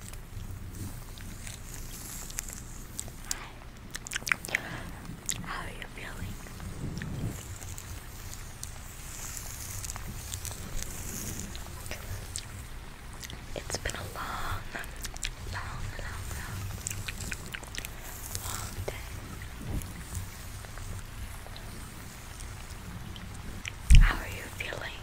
How are you feeling? It's been a long, long, long, long, day. How are you feeling?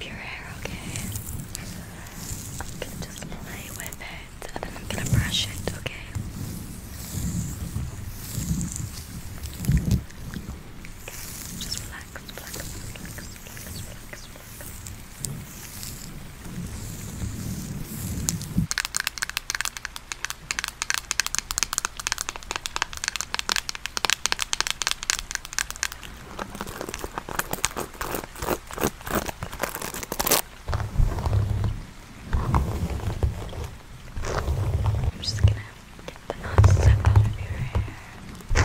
your hair, okay? I'm gonna just play with it and then I'm gonna brush it, okay? okay just relax, relax, relax, relax, relax. I'm just gonna get the knots stuck out of your hair. Good.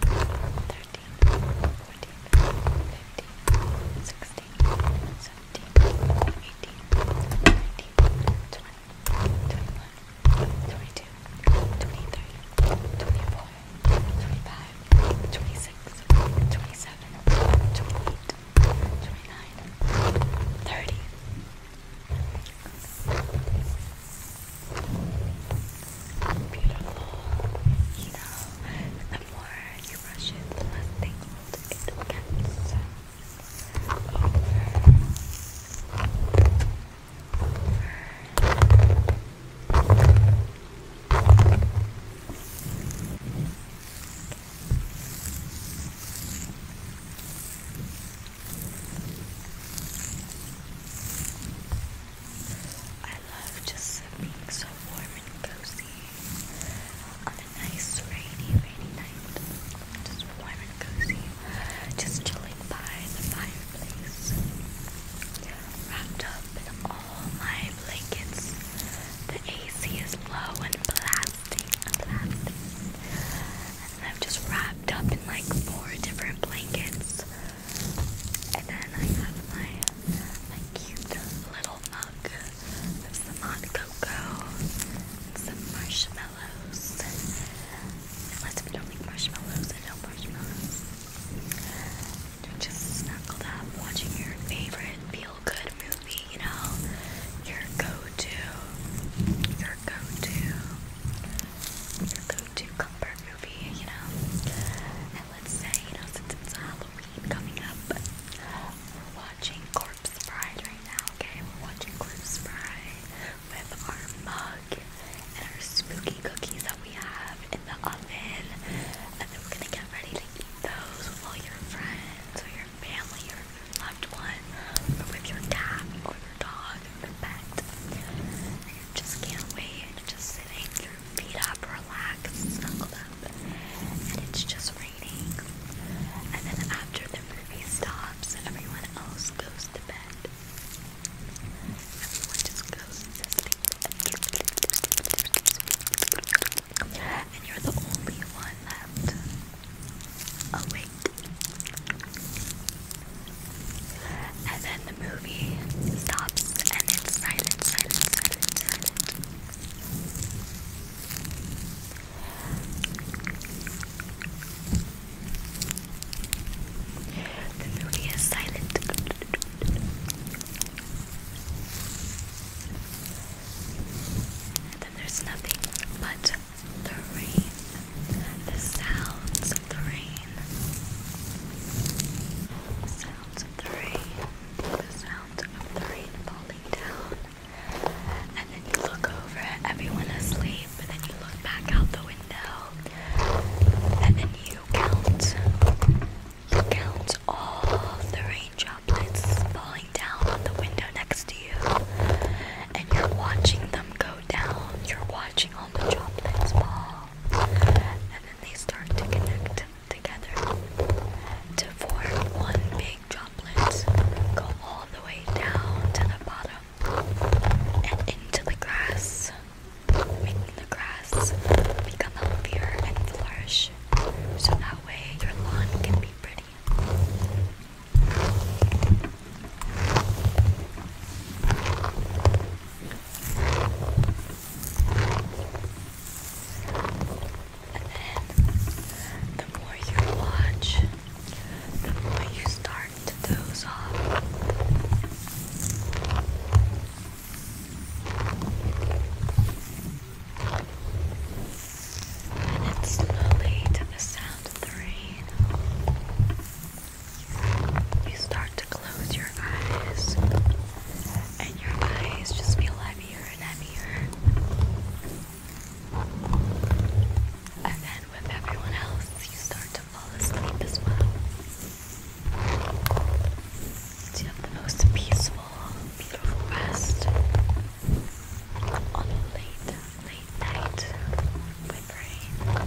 thirteen, fourteen, fifteen, sixteen, seventeen, eighteen, nineteen, twenty, twenty-one, twenty-two, twenty-three, twenty-four, twenty-five, twenty-six, twenty-seven, twenty-eight, twenty-nine, thirty beautiful. You know, the more you brush it, the less it gets. I love just being so warm and cozy on a nice rainy, rainy night. Just warm and cozy, just chilling by the fireplace, wrapped up in all my blankets. The AC is low and blasting, and blasting, and I'm just wrapped up in like four different blankets. And then I have my my cute little mug with some hot cocoa, some marshmallows. Unless we don't like marshmallows, I don't marshmallows. just snuggled up watching your favorite feel-good movie, you know? Your go-to, your go-to, your go-to comfort movie, you know? let's say, you know, since it's Halloween coming up, we're watching Corpse Bride right now, okay? We're watching Corpse Bride with our mug and our spooky cookies that we have in the oven. And then we're gonna get ready to eat those with all your friends or your family your loved one or with your cat or your dog or your pet. just can't wait just sitting, feet up, relax, snuggled up, and it's just raining. And then after the movie stops, everyone else goes to bed. Everyone just goes And you're the only one left awake and then the movie stops and it's silent, The movie is silent. then there's nothing but the rain, the sounds of the rain of the rain, the sounds of the rain falling down. And then you look over at everyone asleep, and then you look back out the window, and then you count. You count all the rain droplets falling down on the window next to you, and you're watching them go down. You're watching all the droplets fall, and then they start to connect together to form one big droplet, go all the way down to the bottom and into the grass, making the grass become healthier and flourish so that way your lawn can be pretty. And then the more you watch, the more you start to doze off. And then slowly to the sound of the rain, you start to close your eyes, and your eyes just feel heavier and heavier. And then with everyone else, you start to fall asleep as well. you have the most peaceful, beautiful rest on a late, late night with rain.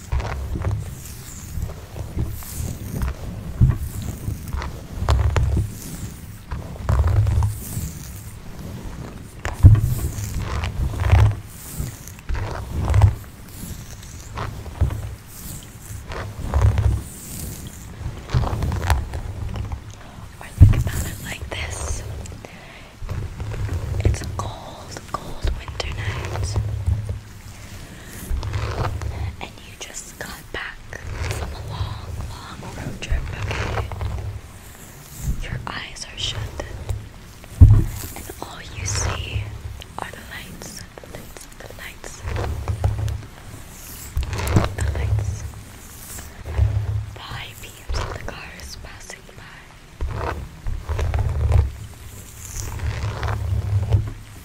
Or think about it like this. It's a cold, cold winter night and you just got back from a long, long road trip, okay? Your eyes are shut, and all you see are the lights, the lights, the lights, the lights, the high beams of the cars passing by. And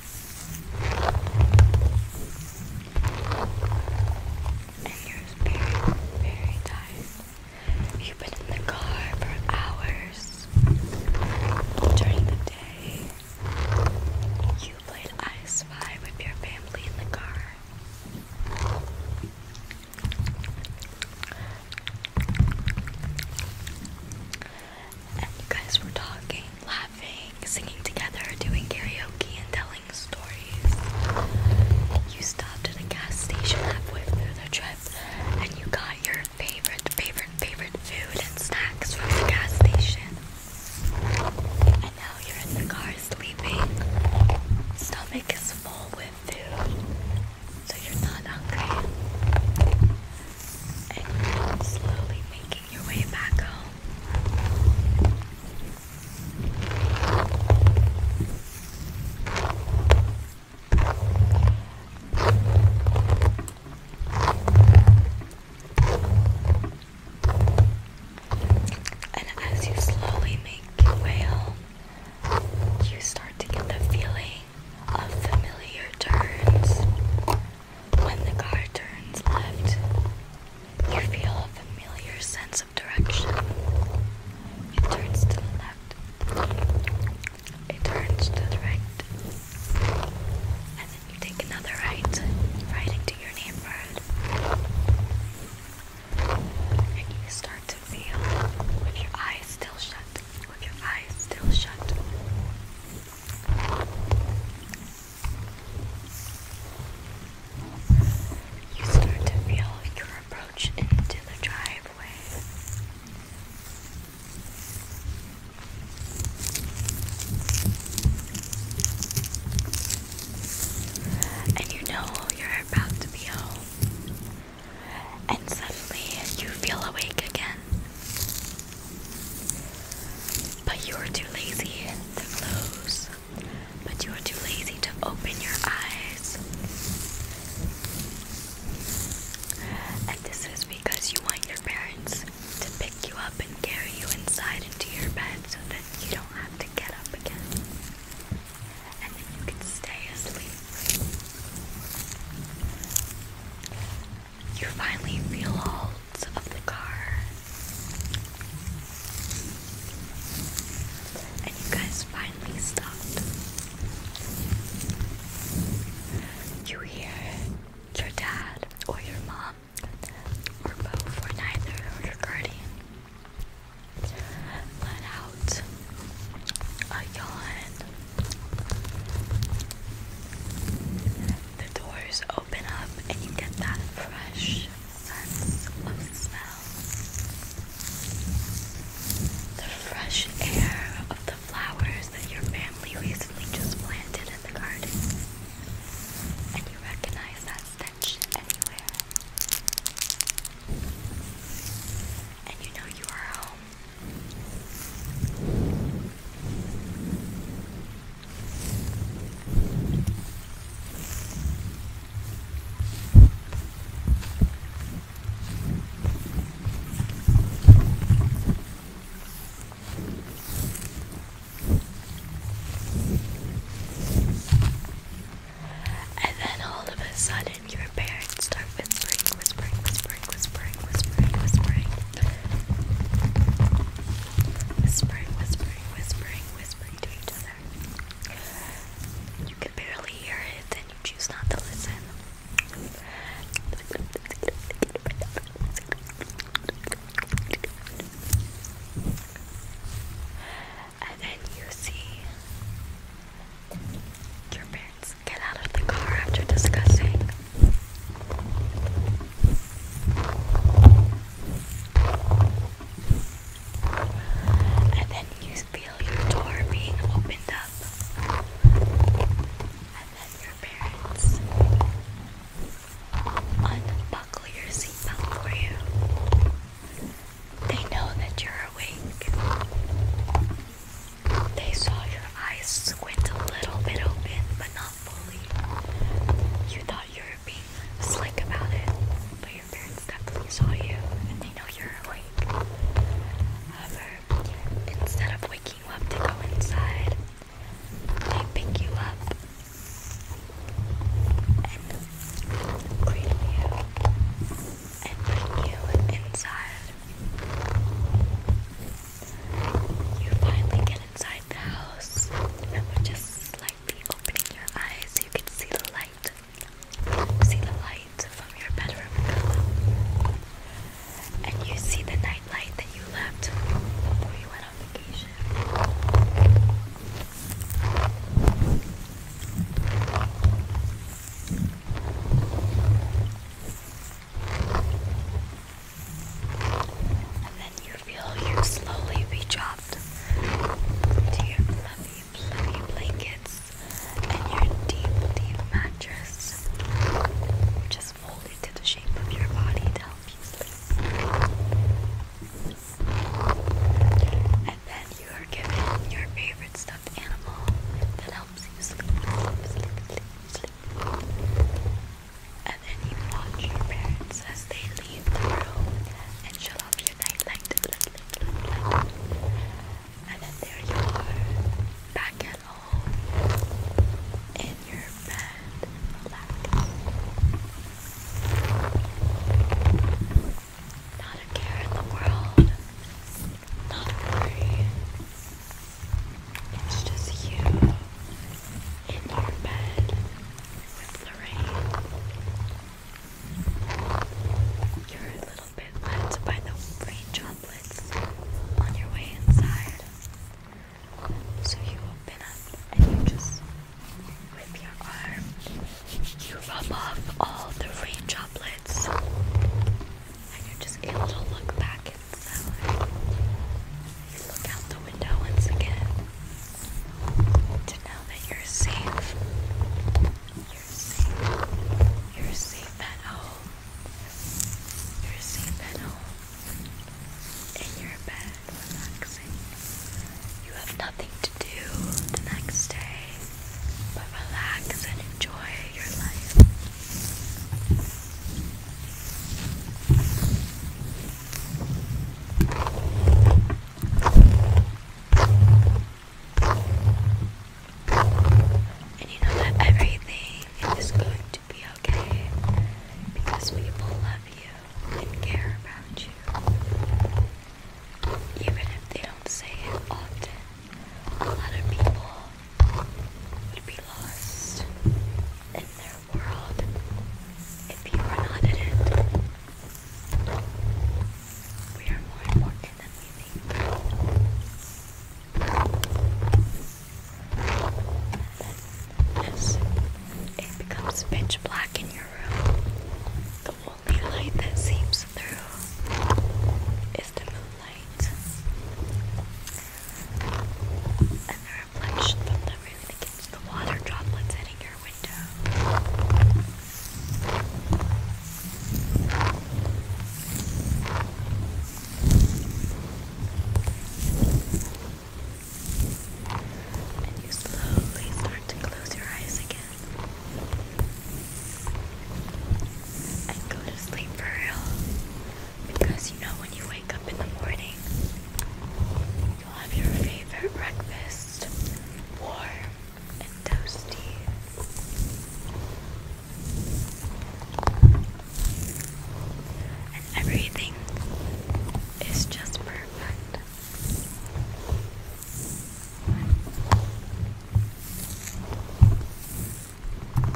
you're very, very You've been in the car for hours during the day. You played I Spy with your family in the car and you guys were talking, laughing, singing together, doing karaoke, and telling stories. You stopped at a gas station halfway through the trip, and you got your favorite, favorite, favorite food and snacks from the gas station. And now you're in the car sleeping. Stomach is full with food, so you're not hungry and slowly making your way back home. And as you slowly make your way home, you start to get the feeling of familiar turns when the car turns left, you feel a familiar sense of direction. It turns to the left. It turns to the right. And then you take another right, right into your neighborhood. And you start to feel with your eyes still shut, with your eyes still shut, you start to feel your approach into the driveway. And you know you're about to be home. And suddenly you feel awake again. But you are too lazy to close. But you are too lazy to open your eyes. And this is because you want your parents to pick you up and carry you inside into your bed so that you don't have to get up again. And then you can stay asleep you finally feel all of the car. And you guys finally stopped. You hear your dad or your mom or both or neither or your guardian let out a yawn the doors open up and you get that fresh sense of smell. The fresh air of the flowers that your family recently just planted in the garden. And you recognize that stench anywhere. And you know you are home. And then all of a sudden, your parents start whispering, whispering, whispering whispering, whispering, whispering, whispering. Whispering, whispering, whispering, whispering to each other. You can barely hear it and you choose not to listen. And then you see your parents get out of the car after discussing. And then you feel your door being opened up. And then your parents unbuckle your seatbelt for you. They know that you're awake. They saw your eyes squint a little bit open, but not fully. You thought you were being slick about it, but your parents definitely saw you, and they know you're awake. However, instead of waking up to go inside, they pick you up and cradle you and bring you inside you finally get inside the house and we just slightly opening your eyes you can see the light see the light from your bedroom window and you see the night that you left before you went on vacation and then you feel you slowly be dropped to your fluffy, fluffy blankets and your deep, deep mattress, which folded to the shape of your body to help you sleep. And then you are given your favorite stuffed animal that helps you sleep, sleep, sleep, sleep and then you watch your parents as they leave the room and shut off your night light, light, light, light, light. and then there you are, back at home, in your bed, relaxed. Not a care in the world, not a worry, it's just you in our bed with Lorraine. You're a little bit wet by the rain droplets on your way inside. So you open up and you just with your arm you rub off all the rain droplets and you're just able to look back flower. Look out the window once again to know that you're safe. You're safe. You're safe at home. You're safe at home. In your bed, relaxing. You have nothing to do the next day but relax and enjoy your life. And you know that everything is going to be okay because people love you and care about you. Even if they don't say it often, a lot of people would be lost in their world if you were not in it. We are more important than we think. As it becomes pitch black in your room, the only light that seeps through is the moonlight and the reflection from them really the water droplets hitting your window. And you slowly start to close your eyes again. And go to sleep for real. Because you know, when you wake up in the morning, you'll have your favorite breakfast warm and toasty. And everything is just perfect. And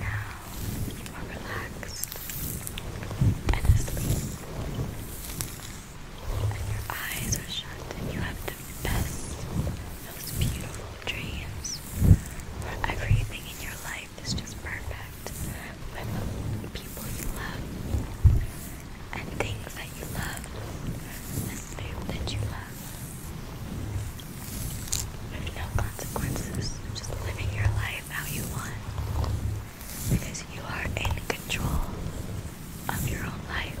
now you are relaxed and your eyes are shut and you have the best, most beautiful dreams everything in your life is just perfect with people you love and things that you love and food that you love with no consequences, just living your life how you want because you are in control of your own life.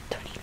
29, 30.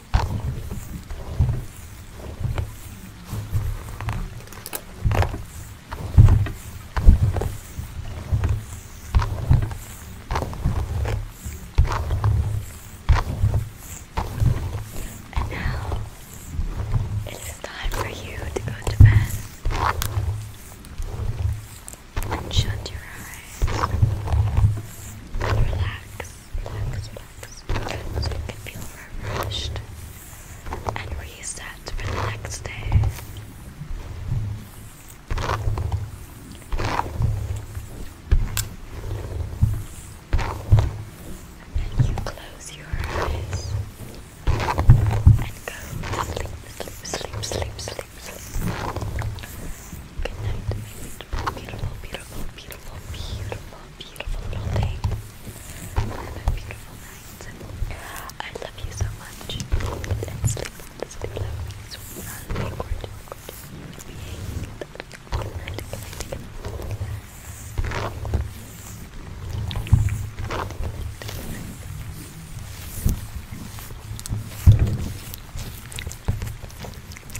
now it is time for you to go to bed and shut your eyes and relax relax, feel refreshed and reset for the next day. you close your eyes and go to sleep, sleep, sleep, sleep, sleep, sleep. Good night. Beautiful, beautiful, beautiful, beautiful, beautiful building. Have a beautiful night. I love you so much. And sleep on this pillow. Good night.